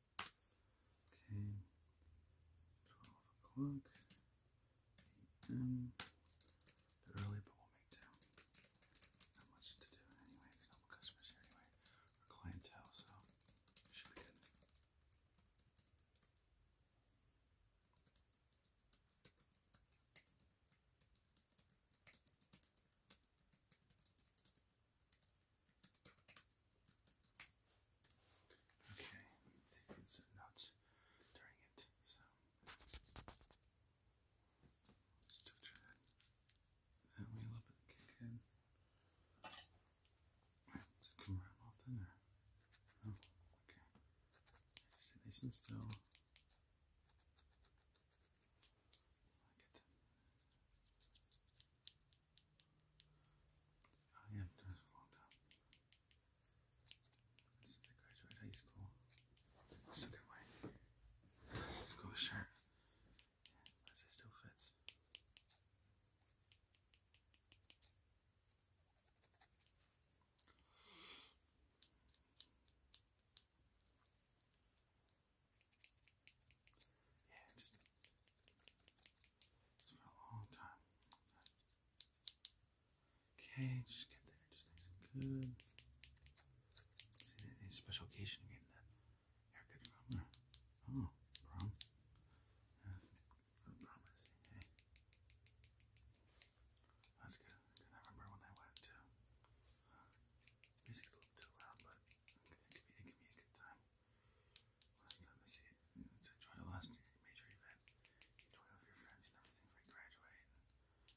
Okay, 12 o'clock p.m. they early, but we'll make do. Not much to do anyway. We customers here anyway, or clientele, so should be good. Okay, taking some notes during it, so let's do that. That way a little bit kick in. Does it come around often or no? Okay. Stay nice and still. Like it. Oh yeah, that a long time. Since I graduated high school. Look at my school shirt. But it still fits. Yeah, just, for a long time. Okay, just get there, just nice and good. any special occasion you getting that haircut from? Hmm. oh, prom? Yeah, promise. Hey. That's good. Cause I remember when I went to. music's a little too loud, but it can be a good time. Last time I see it, enjoy the last major event, enjoy all your friends and everything when you graduate,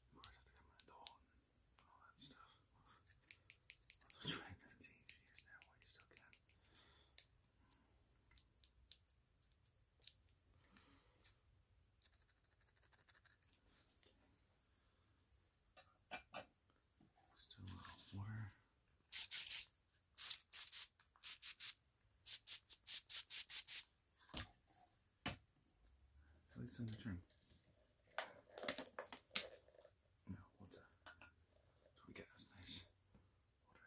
of course, have to become an adult and all that stuff. I'll try years now while you still can. At least little water. in the trim. Now water. we get this nice water.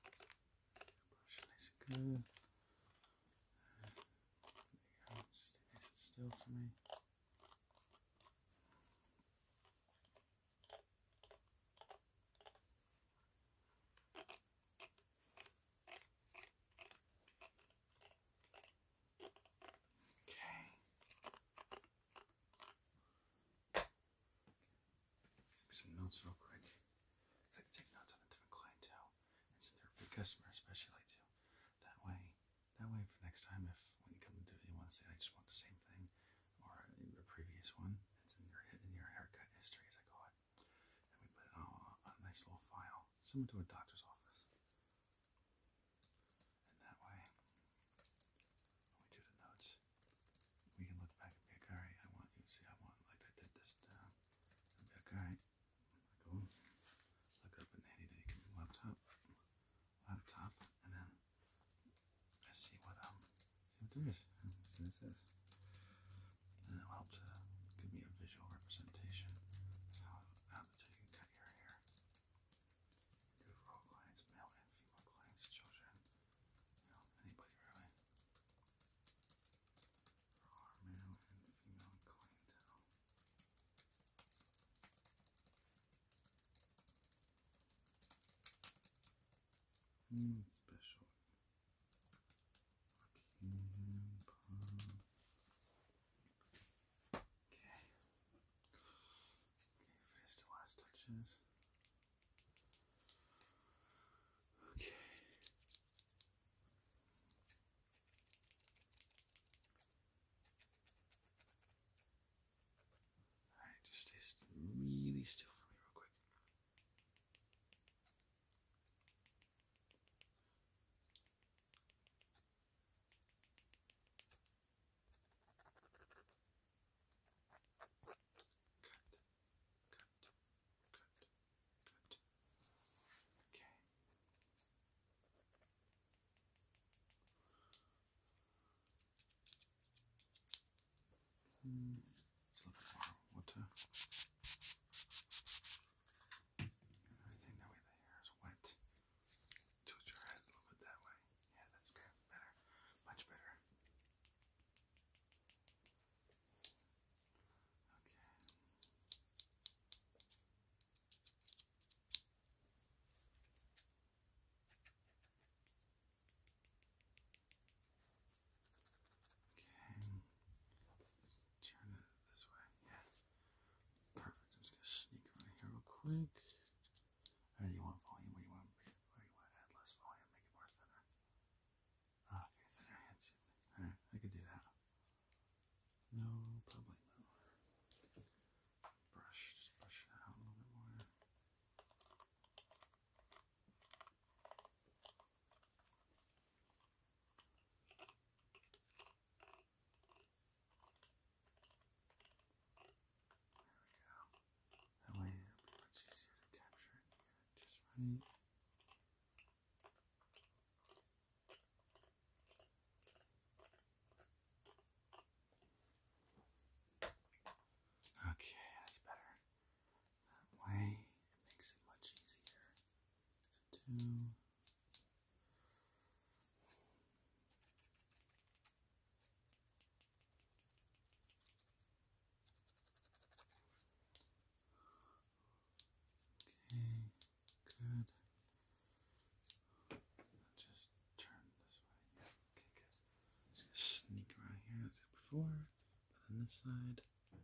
Brush lets go. there you go, just it still for me. Okay. Take some notes real quick. I like to take notes on a different clientele and send their customer especially too. That way that way for next time if when you come to do it you want to say I just want the same thing or the previous one, it's in your in your haircut history as I call it. And we put it a nice little file, similar to a doctor's office. And that way we do the notes, we can look back and be like, alright, I want you to see, I want, like, I did this be like, alright, go look up in the laptop, laptop, and then I see what, um, see what there is, see what it says. And it'll help to give me a visual representation how, how cut your hair. Do it clients, male and female clients, children, you know, anybody really for our male and female clientele. special? Okay. Okay, finish the last touches. Okay. Alright, just stay really still for me, real quick. Cut, cut, Good. Good. Okay. Mm, let's water. I think that way the hair is wet. Tilt your head a little that way. Yeah, that's good. Better. Much better. Okay. Okay. turn it this way. Yeah. Perfect. I'm just gonna sneak around here real quick. Or you want volume? Or you want, or you want add less volume? Make it more thinner. Ah, okay, alright, I could do that. No problemo. Brush, just brush it out a little bit more. There we go. That way it'll be much easier to capture it just running. Okay, that's better. That way it makes it much easier to do. Okay, good. just turn this way. okay, good. sneak around here as before, but on this side, everything.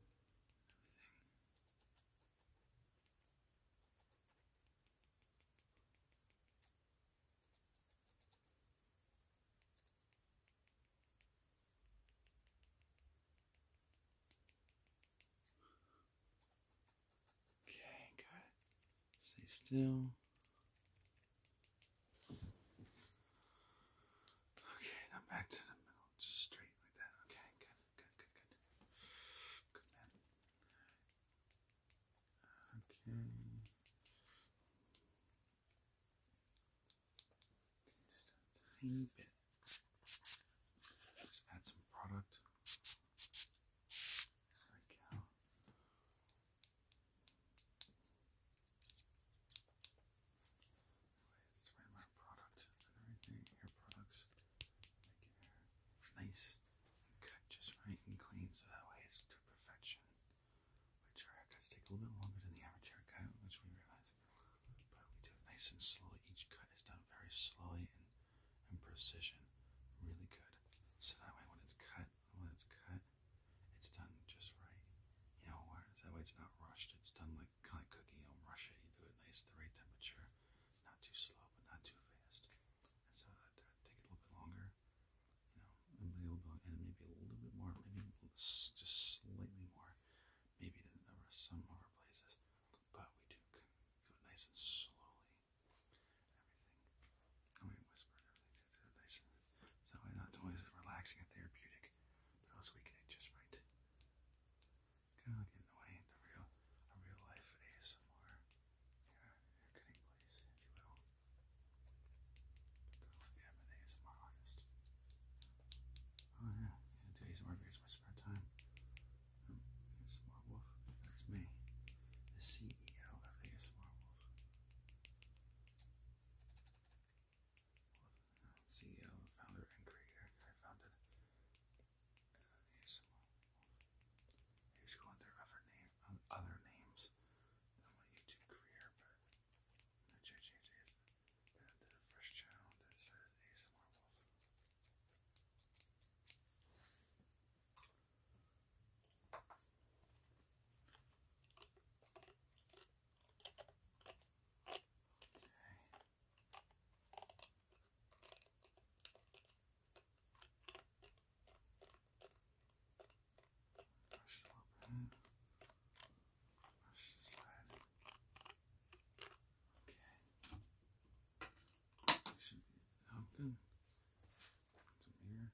Okay, good. Stay still. Okay, now back to the middle, straight like that. Okay, good, good, good, good. Good man. Okay. Just a tiny bit. Just add some product. Like how. It's right product and everything. Hair products make hair nice cut just right and clean so that way it's to perfection which our haircuts a little bit longer than the average haircut, which we realize. But we do it nice and slow. Each cut is done very slowly and, and precision. Really good. So that way when it's cut, when it's cut, it's done just right. You know, where that way it's not rushed. It's done like kind of cooking. You don't rush it. You do it nice, the right temperature, not too slow, but not too fast. so that, that a little bit longer. You know, I'm and maybe a little bit more, maybe just slightly more, maybe to some other places. But we do so it nice and slowly. Everything. I whisper everything. Do nice so not always relaxing and therapeutic, but also we get just right. Kind of like in the real, a real life ASMR, yeah, getting place, if you will. I am an artist. Oh yeah, yeah do ASMR my spare time. Um, Wolf, that's me, the CEO of ASMR Wolf. CEO, founder, and creator. I founded uh, ASMR Wolf. I used to go other, name, other names on my YouTube career, but the church first channel that serves ASMR Wolf brush a little bit, the side. Okay, should be all good. here,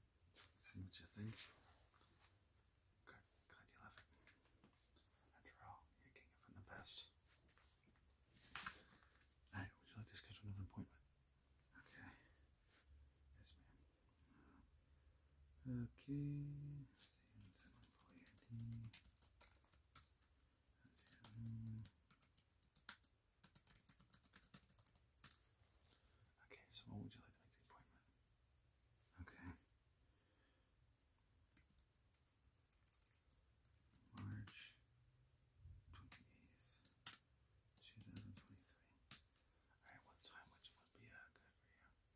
see what you think. Good, glad you love it. After all, you're getting the best. Alright, would you like to schedule another appointment? Okay. Yes, ma'am. Okay, Okay, so what would you like to make the appointment? Okay. March 28th, 2023. Alright, what time would, be uh, good for you?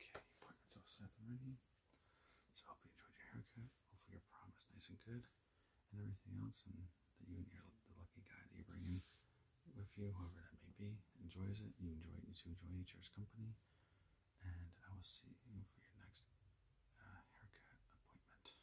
Okay, appointment's all set and ready. So I hope you enjoyed your haircut. Hopefully your prom is nice and good and everything else and that you and your the lucky guy that you bring in with you, whoever that may be, enjoys it. You enjoy it, you two enjoy each other's company. And I will see you for your next uh, haircut appointment.